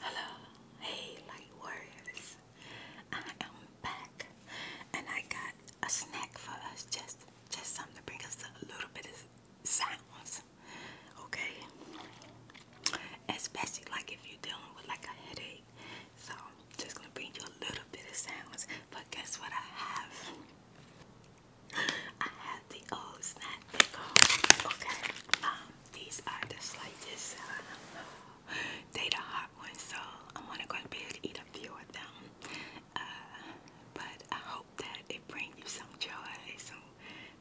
Hello, hey light warriors. I am back and I got a snack for us, just just something to bring us a little bit of sounds. Okay? Especially like if you're dealing with like a headache. So just gonna bring you a little bit of sounds. But guess what I have? I have the old snack pickle. Okay. Um, these are just like this. Uh, the hot ones, so I'm gonna be able to eat a few of them. Uh, but I hope that it brings you some joy, some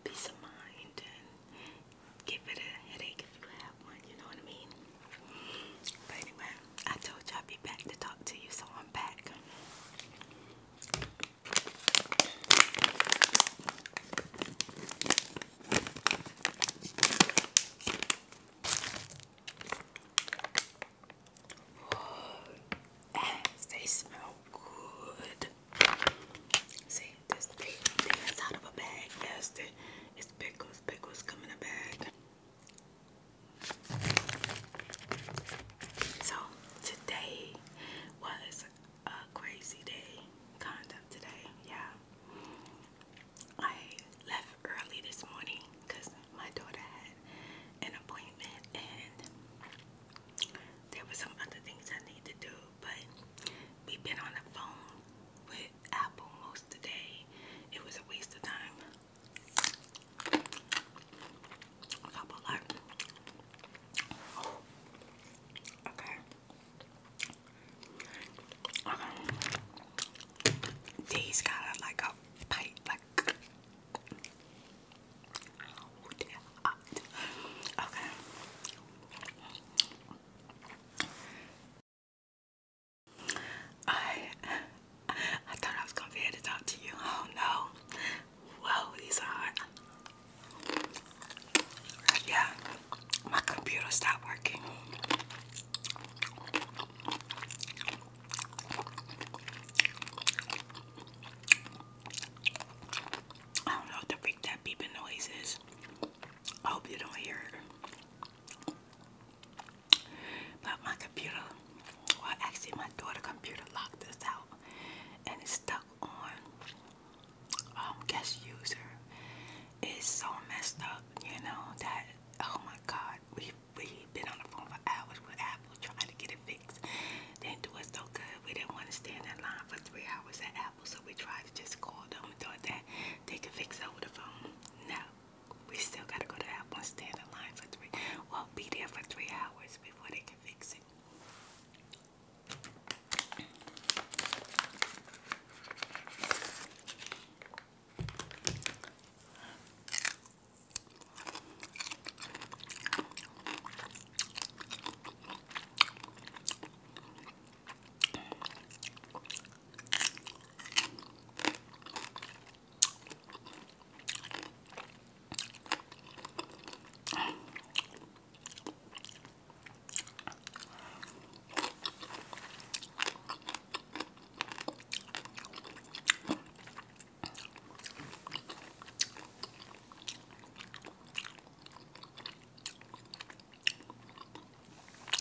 peace of mind, and give it a headache if you have one. You know what I mean? But anyway, I told you I'd be back to talk to you, so they smell good. See, this thing that's out of a bag, It's pickles, pickles come in a bag. So today was a crazy day, kind of today, yeah. I left early this morning because my daughter had an appointment and there were some other things I need to do, but we've been on the phone with Apple most of the day. It was a waste of time. A couple like okay. Um, these got like a bite, like okay. I I thought I was gonna be able to talk to you. Oh no. Whoa, these are Yeah, my computer stopped working. I don't know what the freak that beeping noise is. hope you don't hear it. But my computer, well actually my daughter's computer locked us out and it's stuck on um guest user. It's so messed up, you know, that oh my god, we we've been on the phone for hours with Apple trying to get it fixed. They didn't do us so good. We didn't want to stand in line for three hours at Apple, so we tried to just call them and thought that they could fix it over the phone. No. We still gotta go to that one, stand in line for three. Well, be there for three hours before they can fix it.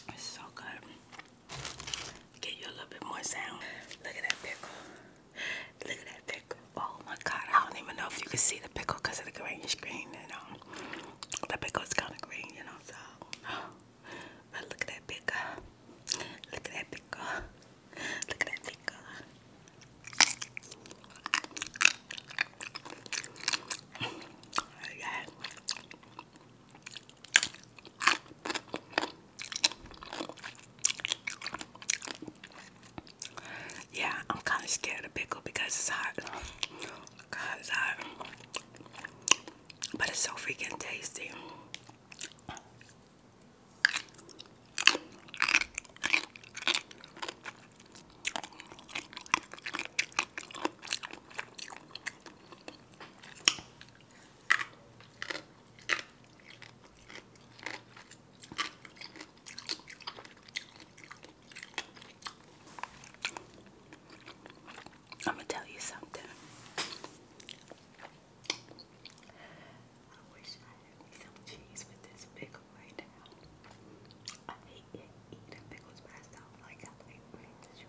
It's so good. Get you a little bit more sound. Look at that pickle. Look at that pickle. Oh my god, I don't even know if you can see the pickle because of the green screen, you know. The pickle's kind of green, you know, so. But look at that pickle. Look at that pickle. Look at that pickle. Oh my god. Yeah, I'm kind of scared of pickle because it's hot. But it's so freaking tasty. I'm gonna tell you something. I wish I had some cheese with this pickle right now. I hate eating pickles myself. Like I like, what did you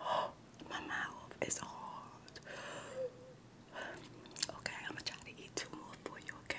Oh, my mouth is hard. Okay, I'm gonna try to eat two more for you, okay?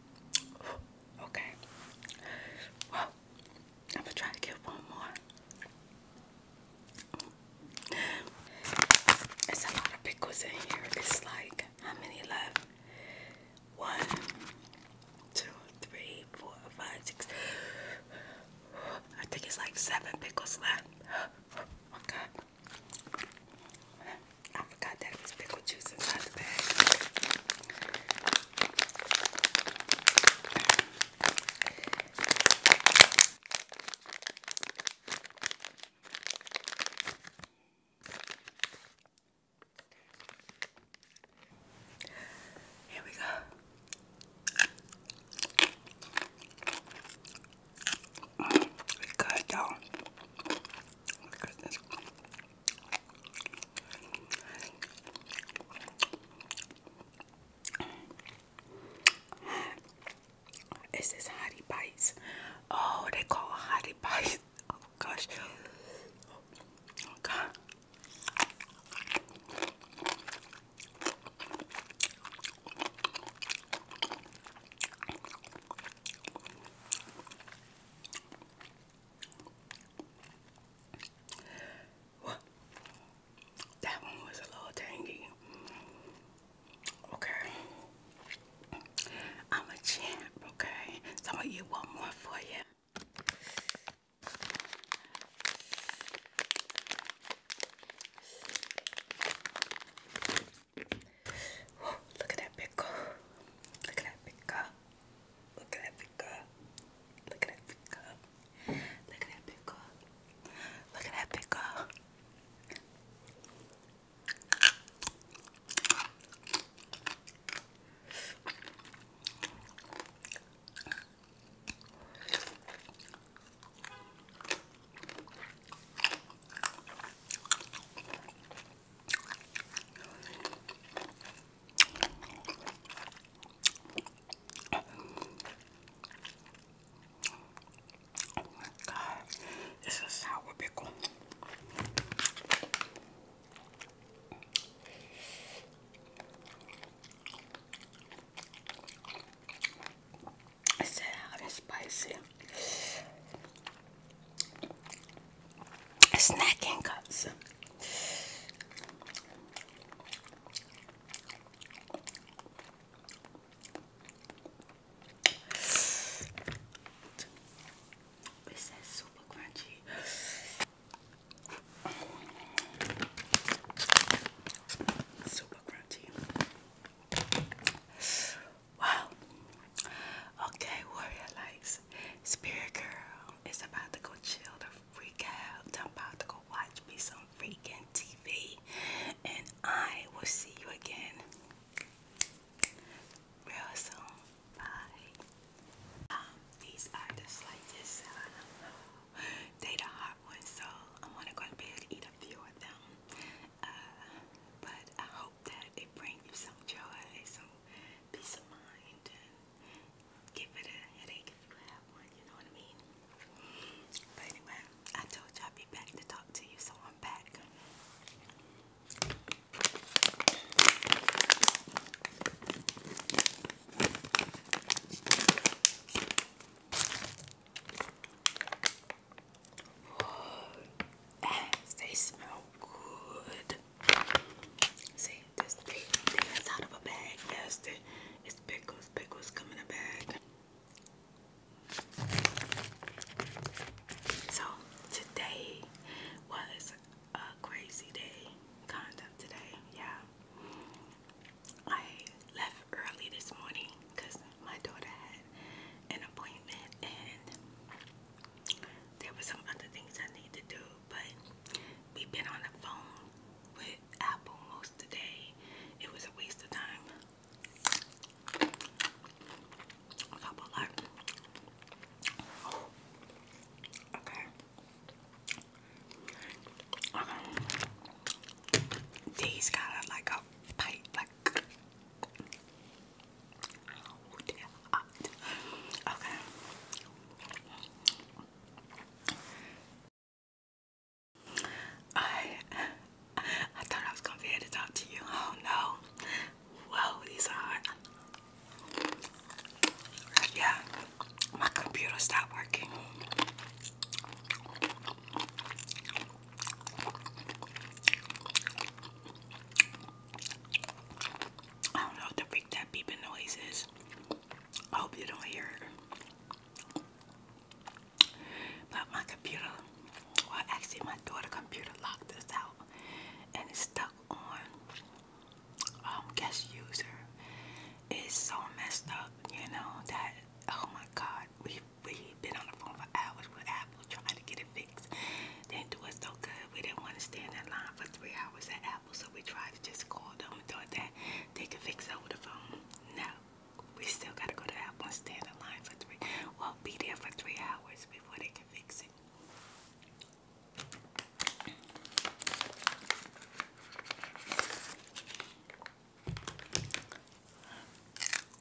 Okay. Well, I'm gonna try to get one more. It's a lot of pickles in here. It's like how many left? One, two, three, four, five, six. I think it's like seven pickles left. Oh God. I forgot that it was pickle juice inside the bag. Here we go. Mm, good though. Look at this. Is this bites? Oh, they call it hottie bites. Oh gosh. Oh, god that one was a little tangy. Okay. I'm a champ, okay? Some of you want more for you. Whoa, look at that pickle. Look at that pickle. Look at that pickle. Look at that pickle. Look at that pickle. Look at that pickle. Oh meu Deus, isso é sour pickle. It's sour and spicy. Snacking cups. It says super crunchy. Super crunchy. Wow. Okay, Warrior Lights. Spirit Girl is about to go chill the freak out. I'm about to go watch me some freaking TV. And I will see you again real Bye. Um, these are the slightest. Uh, they the hot ones, so I'm gonna go to bed eat a few of them. Uh, but I hope that it brings you some joy, some peace of mind, and give it a headache if you have one, you know what I mean? But anyway, I told you I'd be back to talk to you, so I'm back. they smell good. See, this thing, is out of a bag. Yes, it's pickles. Pickles come in a bag. So, today was a crazy day. Kind of today, yeah. I left early this morning because my daughter had an appointment and there were some other things I need to do, but we've been on the phone with Apple most of It was a waste of time. couple like okay. these kind of like a pipe, like Okay. I I thought I was gonna be able to talk to you. Oh no. Whoa, these are Yeah, my computer stopped working. I don't know what the freak that beeping noise is. hope you don't hear it. But my computer, well, actually, my daughter' computer locked us out and it's stuck on um, guest user. It's so messed up, you know, that oh my god, we we've been on the phone for hours with Apple trying to get it fixed. Didn't do us so good. We didn't want to stand in line for three hours at Apple, so we tried to just call them and thought that they could fix it over the phone. No, we still got to go to Apple and stand in line for three. Well, be there for three hours before they can fix it.